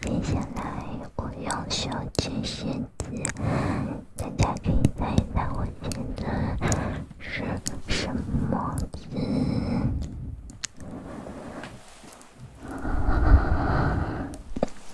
接下来，我用手指写字，大家可以猜猜我写字是什么字。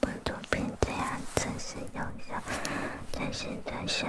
不毒品这样真实有效，真心传销。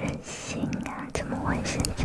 任性啊！怎么会是草？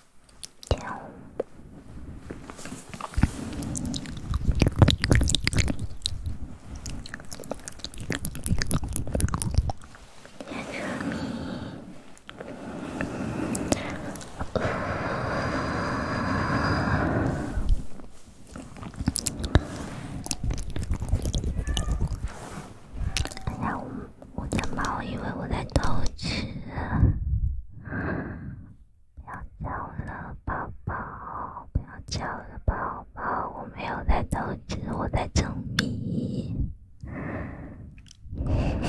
喵。喵咪。哎呀，我的猫以为我在偷吃。不要叫了，宝宝！不要叫了，宝宝！我没有在偷吃，我在蒸米。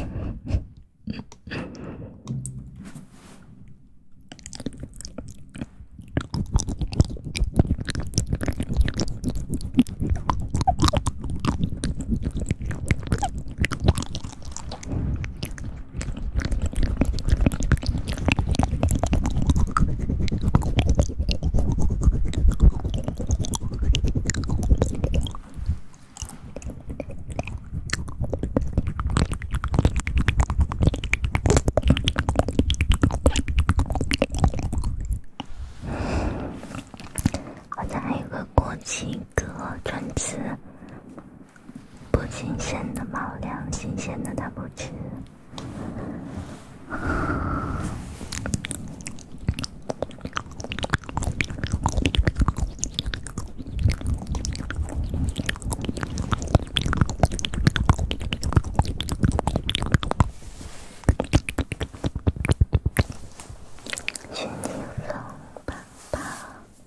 我这还有个国旗歌专辑。不新鲜的猫粮，新鲜的他不吃。宝。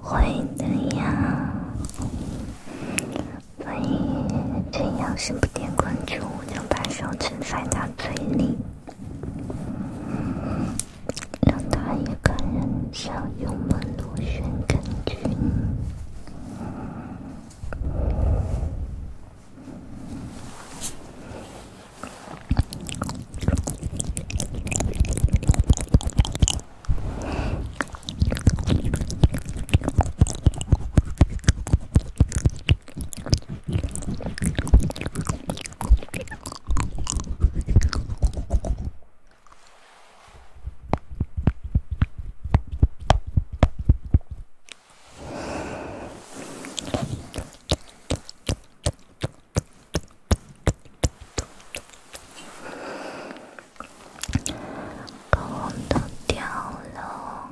会的呀，所以要是不点关注，我就把手指塞到嘴里。让他一个人上油门螺旋杆菌。口红都掉了，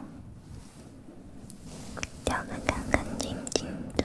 掉的干干净净的。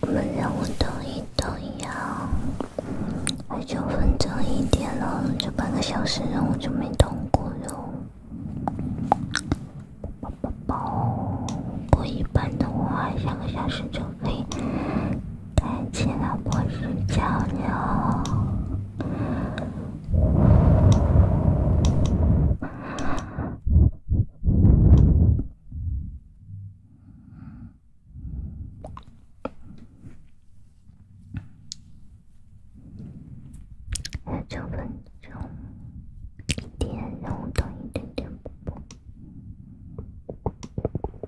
我们任务等一等呀，还九分钟一点了，就半个小时任务就没通过哟。宝宝宝，过一半的话，两个小时就可以。感谢老婆式交流，九分钟，一点，等一点点，不不。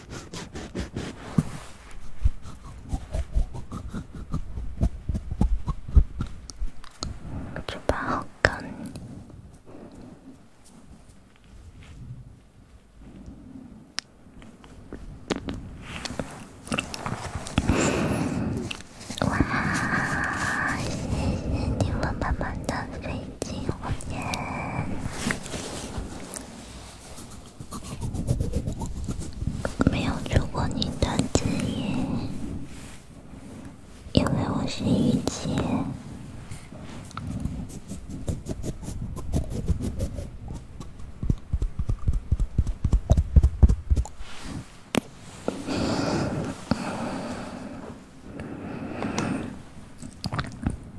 就把好干。哇，谢谢你为妈妈的费尽心血。没有做过你的职业，因为我是雨洁。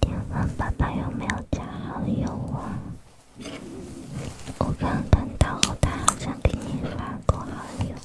电话爸爸有没有加好友啊？我刚看到他好像给你发过好友。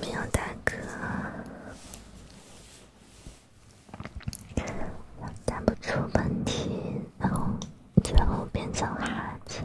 没有大哥，打不出问题，然后最后变成哈欠。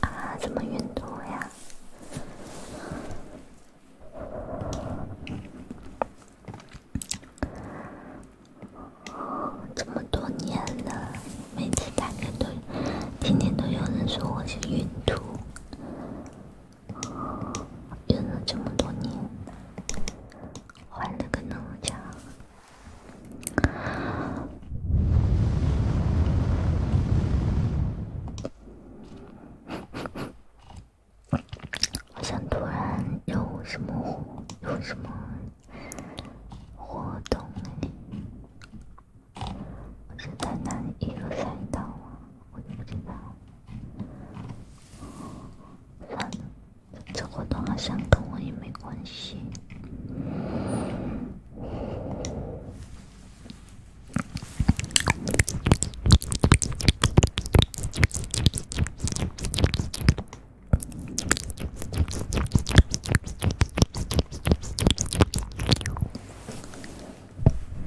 啊，怎么孕吐呀？这么多年了，每次大家都天天都有人说我是孕吐。我用了这么多年，换了个那么家，好像突然有什么活有什么活动我是在哪里一个赛道啊？我都不知道。算了，这活动好像跟我也没关系。